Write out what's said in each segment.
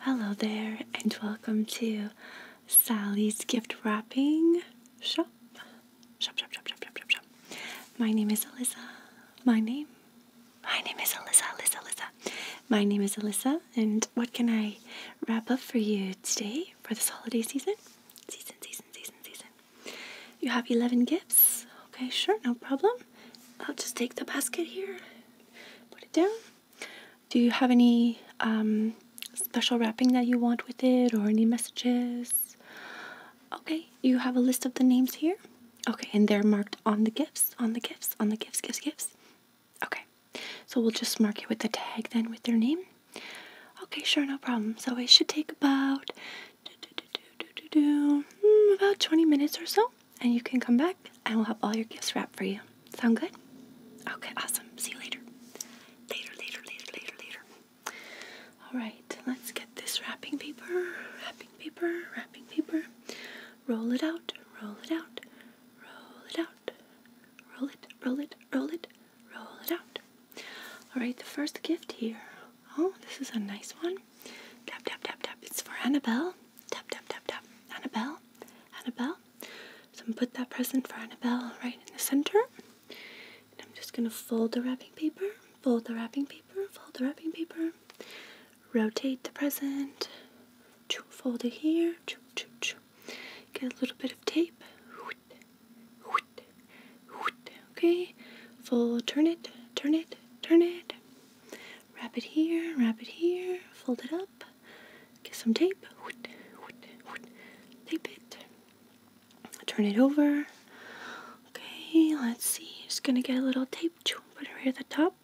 Hello there, and welcome to Sally's gift wrapping shop. Shop, shop, shop, shop, shop, shop, shop. My name is Alyssa. My name my name is Alyssa, Alyssa, Alyssa. My name is Alyssa, and what can I wrap up for you today for this holiday season? Season, season, season, season. You have 11 gifts? Okay, sure, no problem. I'll just take the basket here, put it down. Do you have any um, special wrapping that you want with it or any messages? Okay, you have a list of the names here. Okay, and they're marked on the gifts, on the gifts, on the gifts, gifts, gifts. Okay, so we'll just mark it with the tag then with their name. Okay, sure, no problem. So it should take about do, do, do, do, do, do, do, hmm, about 20 minutes or so, and you can come back and we'll have all your gifts wrapped for you. Sound good? Okay, awesome. See you later. Later, later, later, later, later. All right, let's get this wrapping paper, wrapping paper, wrapping paper. Roll it out, roll it out, roll it out. Roll it, roll it, roll it, roll it out. All right, the first gift here. Oh, this is a nice one. Tap, tap, tap, tap. It's for Annabelle. Tap, tap, tap, tap. Annabelle, Annabelle. So I'm gonna put that present for Annabelle right in the center. And I'm just gonna fold the wrapping paper, fold the wrapping paper, fold the wrapping paper rotate the present, fold it here, get a little bit of tape, okay, fold, turn it, turn it, turn it, wrap it here, wrap it here, fold it up, get some tape, tape it, turn it over, okay, let's see, just gonna get a little tape, put it right at the top,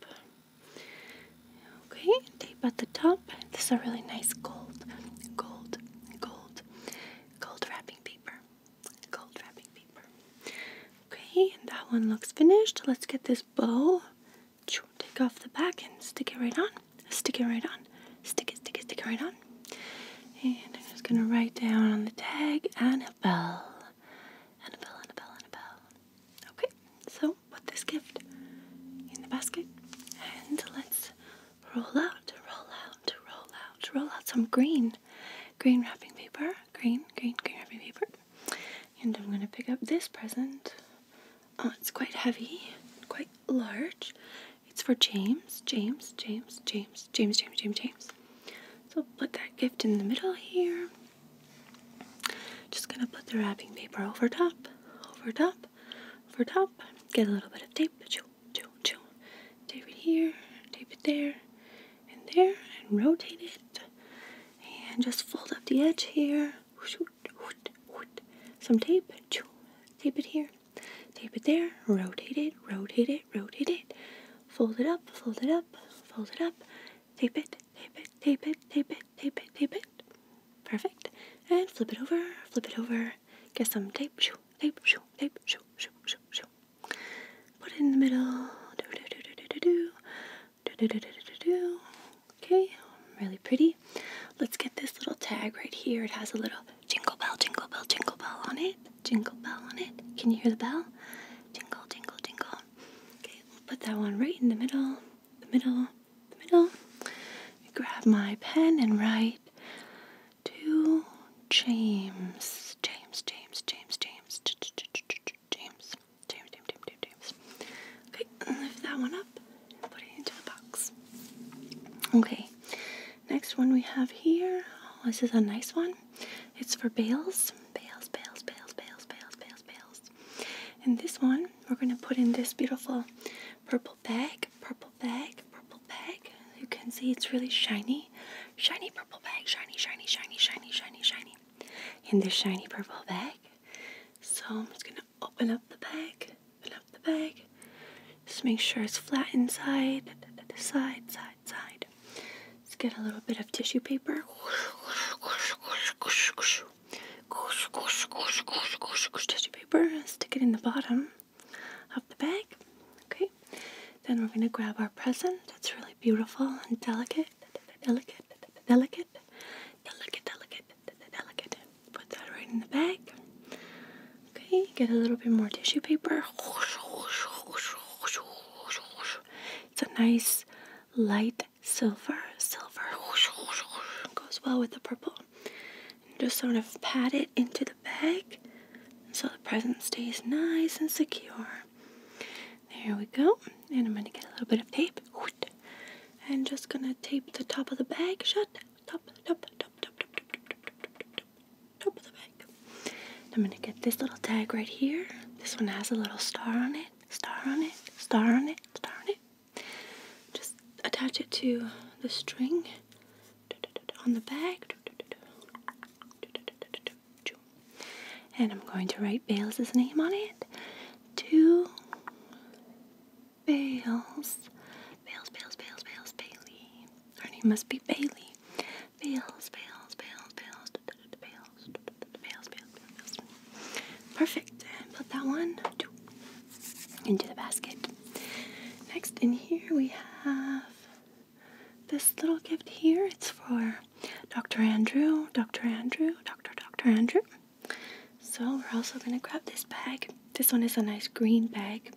Okay, tape at the top. This is a really nice gold, gold, gold, gold wrapping paper. Gold wrapping paper. Okay, and that one looks finished. Let's get this bow. Take off the back and stick it right on. Stick it right on. Stick it, stick it, stick it right on. And I'm just gonna write down on the tag Annabelle. Annabelle, Annabelle, Annabelle. Okay, so put this gift in the basket and let's roll out, roll out, roll out, roll out some green, green wrapping paper, green, green, green wrapping paper. And I'm gonna pick up this present. Oh, it's quite heavy, quite large. It's for James, James, James, James, James, James, James, James. So put that gift in the middle here. Just gonna put the wrapping paper over top, over top, over top. Get a little bit of tape, choo, choo, choo. Tape it here, tape it there, and there, and rotate it. And just fold up the edge here. Some tape, choo. Tape it here, tape it there, rotate it, rotate it, rotate it. Fold it up, fold it up, fold it up, Tape it, tape it, tape it, tape it, tape it, tape it. Perfect. And flip it over, flip it over. Get some tape, shoo, tape, shoo, tape, shoo, shoo, shoo, shoo. Put it in the middle. Do, do, do, do, do, do, do. Do, do, do, do, do, do. Okay, really pretty. Let's get this little tag right here. It has a little jingle bell, jingle bell, jingle bell on it. Jingle bell on it. Can you hear the bell? Jingle, jingle, jingle. Okay, Okay, we'll put that one right in the middle, the middle, the middle. Grab my pen and write to James, James, James, James, James, James, James, James, James, Okay, lift that one up and put it into the box. Okay, next one we have here. Oh, this is a nice one. It's for bales, bales, bales, bales, bales, bales, bales, bales. And this one, we're gonna put in this beautiful purple bag, purple bag, purple bag. You can see it's really shiny, shiny purple bag, shiny, shiny, shiny, shiny, shiny, shiny. In this shiny purple bag. So I'm just gonna open up the bag, open up the bag. Just make sure it's flat inside, side, side, side. Let's get a little bit of tissue paper. Tissue paper. Stick it in the bottom of the bag. Okay. Then we're going to grab our present. It's really beautiful and delicate. Delicate. Delicate. Delicate. Delicate. Delicate. Put that right in the bag. Okay. Get a little bit more tissue paper. It's a nice light silver, silver goes well with the purple. just sort of pat it into the bag so the present stays nice and secure. There we go. And I'm going to get a little bit of tape. And just going to tape the top of the bag shut. Top, top, top, top, top, top, top, top, top, top, top of the bag. I'm going to get this little tag right here. This one has a little star on it it, star on it, star on it, star on it. Just attach it to the string on the back. And I'm going to write Bales' name on it. Two Bales. Bales, Bales, Bales, Bales, Bailey. Her name must be Bailey. Bales, Bales, Bales, Bales. Perfect. And put that one into the basket. Next, in here we have this little gift here. It's for Dr. Andrew, Dr. Andrew, Dr. Dr. Andrew. So we're also gonna grab this bag. This one is a nice green bag,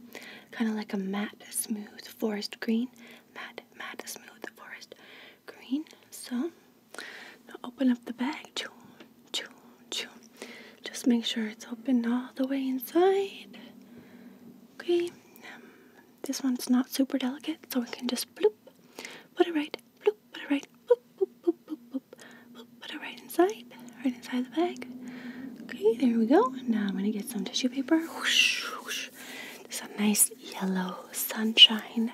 kind of like a matte, smooth forest green. Matte, matte, smooth forest green. So now open up the bag. Choo, choo, choo. Just make sure it's open all the way inside. Okay. Um, this one's not super delicate, so we can just bloop, put it right, bloop, put it right, boop, boop, boop, boop, boop, boop, put it right inside, right inside the bag. Okay, there we go. Now I'm gonna get some tissue paper. Whoosh, whoosh. There's a nice yellow sunshine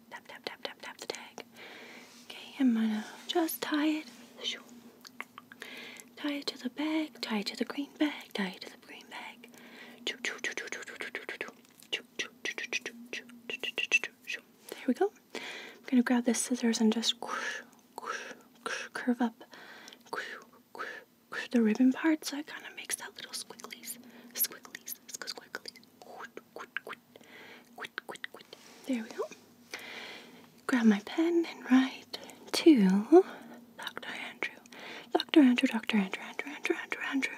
tap, tap, tap, tap, tap the tag. Okay, I'm gonna just tie it. Tie it to the bag, tie it to the green bag, tie it to the green bag. There we go. I'm gonna grab the scissors and just curve up the ribbon part so it kind of makes that little squigglies, squigglies, squigglies, Quit, quit, quit. Quit, quit, quit. There we go. Grab my pen and write to Dr. Andrew. Dr. Andrew, Dr. Andrew, Andrew, Andrew, Andrew, Andrew.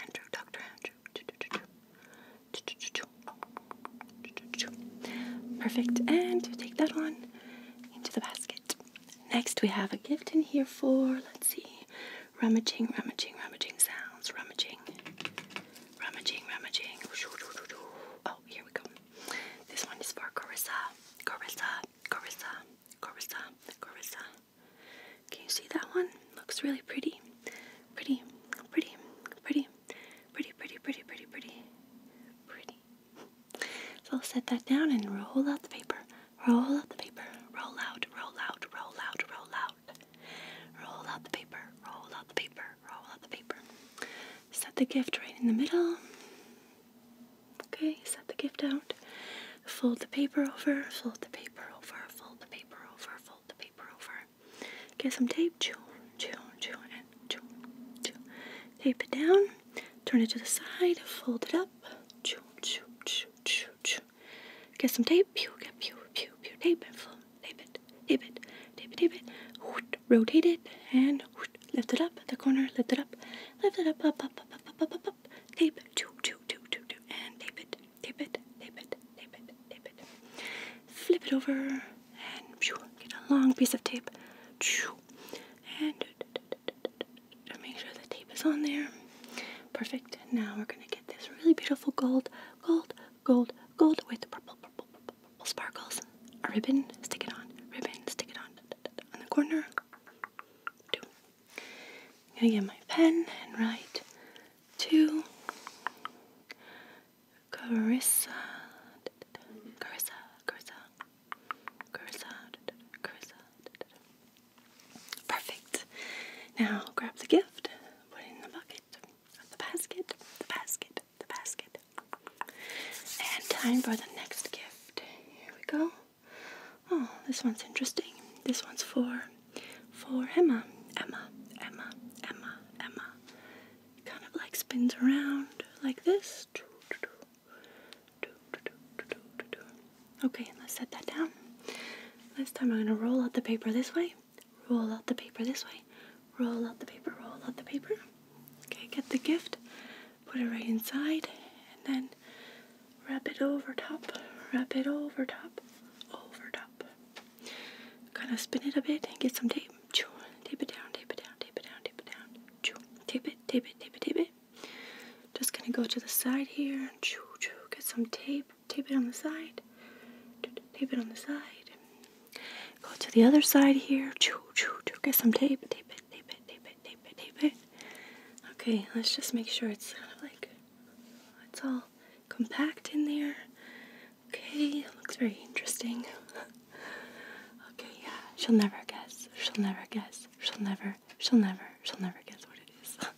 Andrew, Dr. Andrew. Perfect. And take that one into the basket. Next, we have a gift in here for, let's see, rummaging, rummaging, rummaging sounds, rummaging, rummaging, rummaging. Oh, here we go. This one is for Carissa, Carissa, Carissa, Carissa, Carissa. Can you see that one? Looks really pretty, pretty, pretty, pretty, pretty, pretty, pretty, pretty, pretty, pretty. So I'll set that down and roll out the paper. Roll out the paper. Roll out, roll out, roll out, roll out out. Roll out the paper, roll out the paper, roll out the paper. Set the gift right in the middle. Okay, set the gift out. Fold the paper over, fold the paper over, fold the paper over, fold the paper over. Get some tape, chew, chew, chew, and chew, chew. Tape it down, turn it to the side, fold it up, chew, chew, chew, chew. Get some tape. Pew, get pew, pew, pew. Tape and film. Tape it. Tape it. Tape it. Tape it. Rotate it and lift it up at the corner. Lift it up. Lift it up. Up. Up. Up. Up. Up. Up. Tape. Choo, choo, And tape it. Tape it. Tape it. Tape it. Tape it. Flip it over and pew. Get a long piece of tape. And make sure the tape is on there. Perfect. Now we're gonna get this really beautiful gold, gold, gold, gold with purple, purple, purple, sparkles. A ribbon, stick it on. Ribbon, stick it on. on the corner. Two. I'm gonna get my pen and write two. Carissa. Carissa, Carissa, Carissa, Carissa, Perfect. Now grab the gift, put it in the bucket, the basket, the basket, the basket. And time for the next gift. Here we go. Oh, this one's interesting. This one's for for Emma. Emma, Emma, Emma, Emma. It kind of like spins around like this. Okay, let's set that down. This time I'm going to roll out the paper this way, roll out the paper this way, roll out the paper, roll out the paper. Okay, get the gift, put it right inside, and then wrap it over top, wrap it over top, over top. Kind of spin it a bit and get some tape. Choo, tape it down, tape it down, tape it down, tape it down. tape it, tape it, tape it, tape it. Just going to go to the side here. Choo, choo, get some tape tape it on the side, tape it on the side. Go to the other side here. Get some tape, tape it, tape it, tape it, tape it, tape it. Okay, let's just make sure it's like it's all compact in there. Okay, looks very interesting. okay, yeah, she'll never guess. She'll never guess. She'll never, she'll never, she'll never guess what it is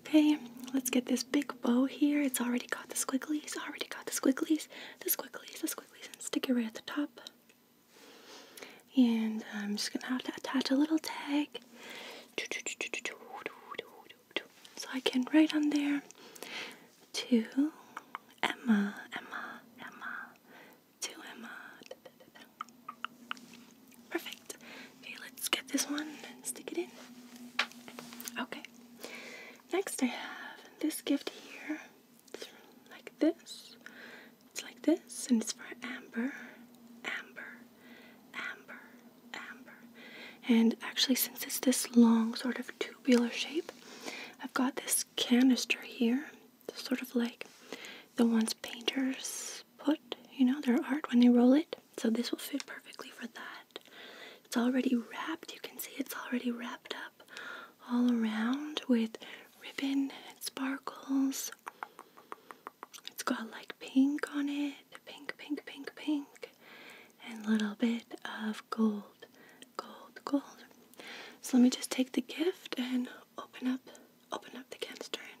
okay, let's get this big bow here. It's already got the squigglies, already got the squigglies, the squigglies, the squigglies, and stick it right at the top. And I'm just gonna have to attach a little tag so I can write on there to Emma, Emma, Emma, to Emma. Perfect. Okay, let's get this one and stick it in. Okay. Next, I have this gift here. It's like this. It's like this, and it's for Amber. Amber. Amber. Amber. And actually, since it's this long, sort of tubular shape, I've got this canister here. sort of like the ones painters put, you know, their art when they roll it. So this will fit perfectly for that. It's already wrapped. You can see it's already wrapped up all around with ribbon and sparkles. It's got like pink on it, pink, pink, pink, pink, and little bit of gold, gold, gold. So let me just take the gift and open up, open up the canister and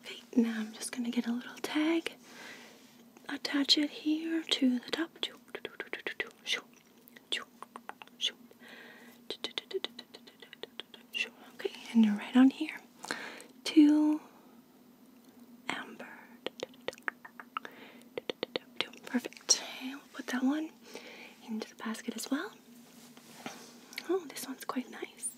Okay, now I'm just going to get a little tag, attach it here to the top. Okay, and right on here. To amber. Perfect. we will put that one into the basket as well. Oh, this one's quite nice.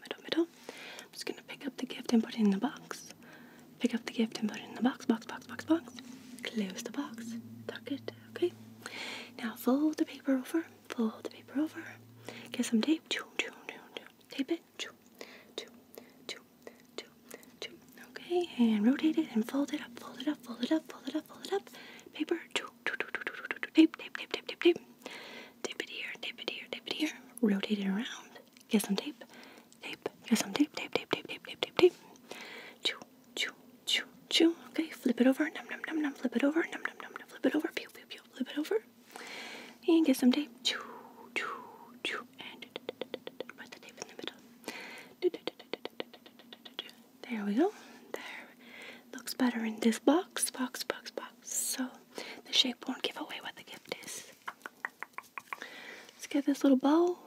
middle, middle, middle. I'm just gonna pick up the gift and put it in the box. Pick up the gift and put it in the box, box, box, box, box. Close the box, tuck it, okay? Now fold the paper over, fold the paper over. Get some tape, choo, choo, choo, choo. tape it, choo, choo, choo, choo, choo. Okay, and rotate it and fold it up, fold it up, fold it up, fold it up, fold it up. Paper, choo, choo, choo, choo, choo, choo, choo. tape, tape, tape, tape, tape. Tape it here, tape it here, tape it here. Rotate it around. Get some tape. Tape. Get some tape. Tape. Tape. Tape. Tape. Tape. Tape. Tape. Chew. Chew. Chew. Chew. Okay. Flip it over. Num num num num. Flip it over. Num num num num. Flip it over. Pew pew pew. Flip it over. And get some tape. Chew. Chew. Chew. And put the tape in the middle. There we go. There. Looks better in this box. Box. Box. Box. So the shape won't give away what the gift is. Let's get this little bowl.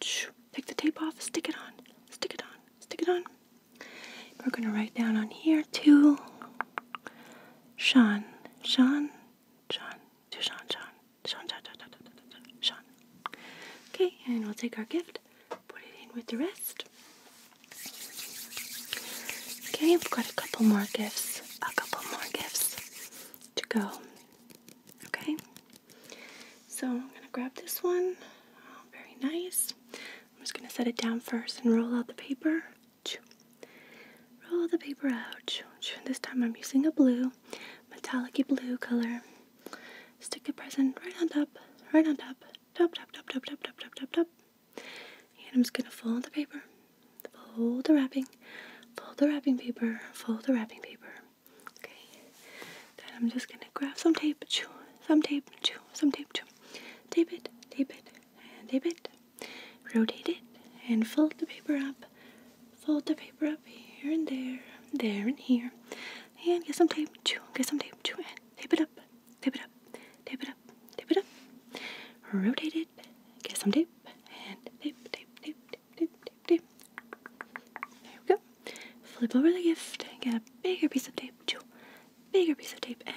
Take the tape off, stick it on, stick it on, stick it on. We're gonna write down on here too. Sean, Sean, Sean, Sean, Sean, Sean, Sean, Sean. Okay, and we'll take our gift, put it in with the rest. Okay, we've got a couple more gifts, a couple more gifts to go. Okay? So I'm going to grab this one. Oh, very nice. I'm just going to set it down first and roll out the paper. Roll the paper out. This time I'm using a blue, metallic blue color. Stick the present right on top, right on top, top, top, top, top, top, top, top, top, top. And I'm just going to fold the paper Fold the wrapping, fold the wrapping paper, fold the wrapping paper. Okay. Then I'm just gonna grab some tape, some tape, chew, some tape, chew. Tape it, tape it, and tape it. Rotate it and fold the paper up. Fold the paper up here and there, there and here. And get some tape, chew, get some tape, chew, and tape it up, tape it up, tape it up, tape it up. Rotate it, get some tape and tip, tip, tip, tip, tip, tip, There we go. Flip over the gift and get a bigger piece of tape, two, bigger piece of tape, and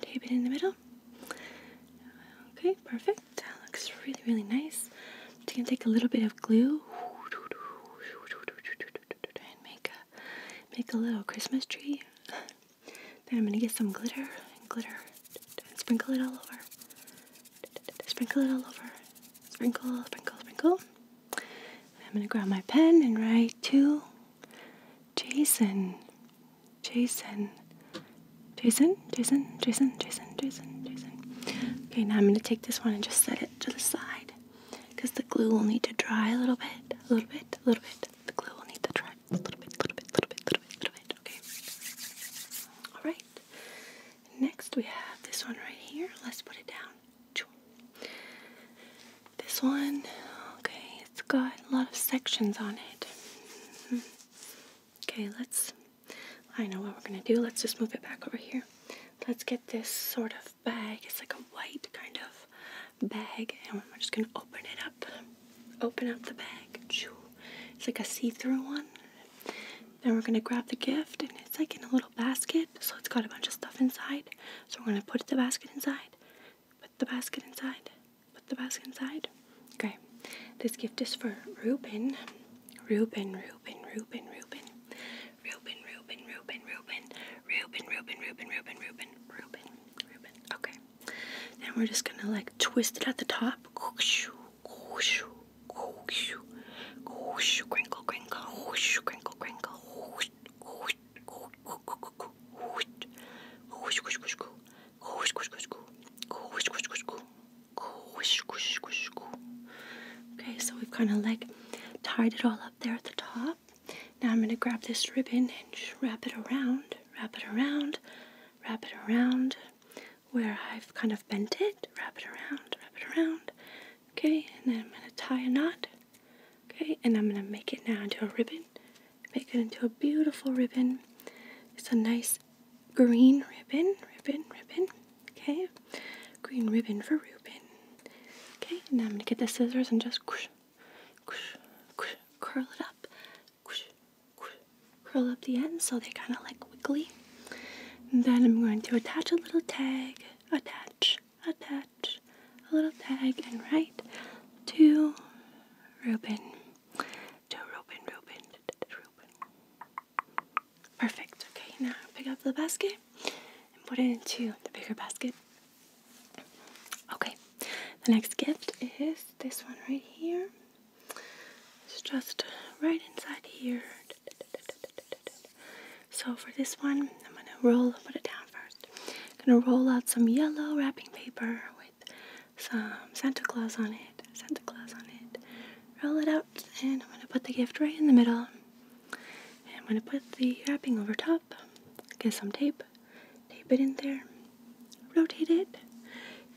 tape it in the middle. Okay, perfect. That looks really, really nice. Just gonna take a little bit of glue and make a make a little Christmas tree. Then I'm gonna get some glitter and glitter and sprinkle it all over. Sprinkle it all over. Sprinkle, sprinkle, sprinkle. I'm gonna grab my pen and write to Jason. Jason. Jason, Jason, Jason, Jason, Jason, Jason. Okay, now I'm gonna take this one and just set it to the side because the glue will need to dry a little bit, a little bit, a little bit. The glue will need to dry. A little bit, little bit, little bit, little bit, little bit. Okay. All right. Next, we have this one right here. Let's put it down. This one, okay, it's got a lot of sections on it. Mm-hmm. Okay, let's. I know what we're gonna do. Let's just move it back over here. Let's get this sort of bag. It's like a white kind of bag, and we're just gonna open it up open up the bag. It's like a see-through one. Then we're gonna grab the gift and it's like in a little basket. So it's got a bunch of stuff inside. So we're gonna put the basket inside. Put the basket inside. Put the basket inside. Okay. This gift is for Reuben. Reuben, Reuben, Reuben, Reuben. Reuben, Reuben, Reuben, Reuben. Reuben, Reuben, Reuben, Reuben, Reuben, Reuben. Reuben. Okay. Okay. we're just gonna like twist it at the top. Okay, so we've kind of like tied it all up there at the top. Now I'm going to grab this ribbon and wrap it around, wrap it around, wrap it around, where I've kind of bent it, wrap it around, wrap it around. Okay, and then I'm gonna tie a knot. Okay, and I'm gonna make it now into a ribbon. Make it into a beautiful ribbon. It's a nice green ribbon, ribbon, ribbon. Okay, green ribbon for Reuben. Okay, and I'm gonna get the scissors and just curl it up, curl up the ends so they're kind of like wiggly. then I'm going to attach a little tag, attach, attach, a little tag, and write to Ruben, to Ruben, Ruben, Ruben. Perfect. Okay, now pick up the basket and put it into the bigger basket. Okay, the next gift is this one right here. It's just right inside here. So for this one, I'm gonna roll, put it down 1st going gonna roll out some yellow wrapping paper with some Santa Claus on it, Santa Claus on it. Roll it out and I'm gonna put the gift right in the middle. And I'm gonna put the wrapping over top, get some tape, tape it in there, rotate it,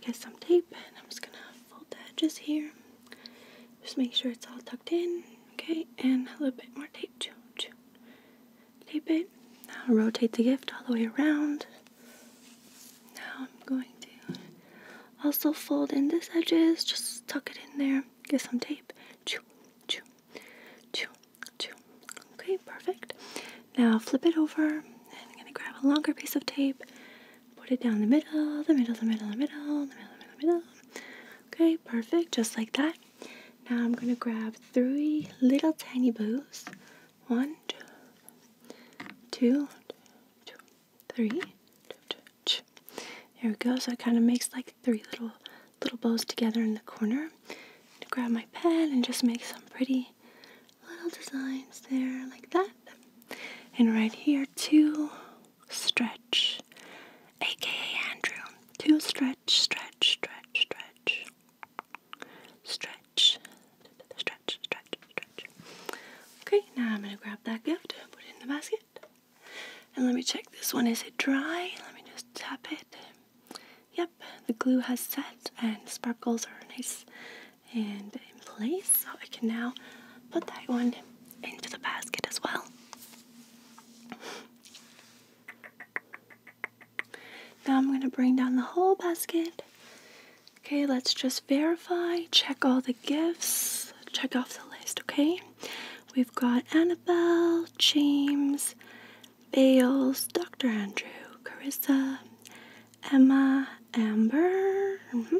get some tape, and I'm just gonna fold the edges here. Just make sure it's all tucked in, okay? And a little bit more tape, too. Tape it. Now rotate the gift all the way around. Now I'm going to also fold in these edges, just tuck it in there, get some tape. Okay, perfect. Now flip it over, and I'm gonna grab a longer piece of tape, put it down the middle, the middle, the middle, the middle, the middle, the middle, middle. Okay, perfect, just like that. Now I'm gonna grab three little tiny bows. One, two, two, three. There we go. So it kind of makes like three little little bows together in the corner. grab my pen and just make some pretty, little designs there like that. And right here to stretch, aka Andrew. To stretch, stretch, stretch, stretch, stretch, stretch, stretch, stretch. Okay, now I'm gonna grab that gift, put it in the basket, and let me check this one. Is it dry? Let me just tap it. Yep, the glue has set and sparkles are nice and in place. So I can now put that one into the basket as well. Now I'm going to bring down the whole basket. Okay, let's just verify, check all the gifts, check off the list, okay? We've got Annabelle, James, Bales, Dr. Andrew, Carissa, Emma Amber, mm-hmm.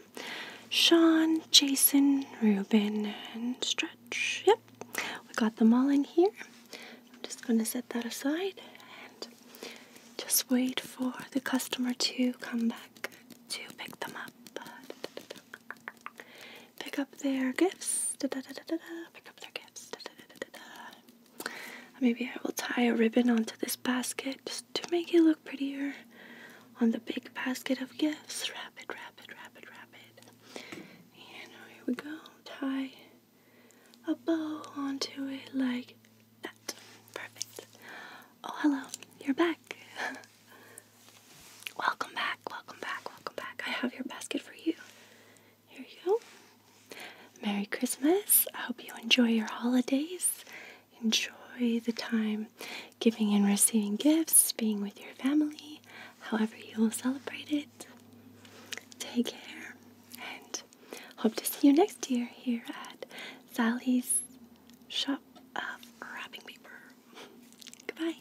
Sean, Jason, Ruben, and Stretch. Yep, we got them all in here. I'm just going to set that aside and just wait for the customer to come back to pick them up. Pick up their gifts. Da -da -da pick up their gifts. Maybe I will tie a ribbon onto this basket just to make it look prettier on the big basket of gifts. Wrap it, wrap it, wrap it, wrap it. And here we go. Tie a bow onto it like that. Perfect. Oh, hello. You're back. welcome back, welcome back, welcome back. I have your basket for you. Here you go. Merry Christmas. I hope you enjoy your holidays Enjoy the time giving and receiving gifts, being with your family, however you will celebrate it. Take care and hope to see you next year here at Sally's Shop of Wrapping Paper. Goodbye.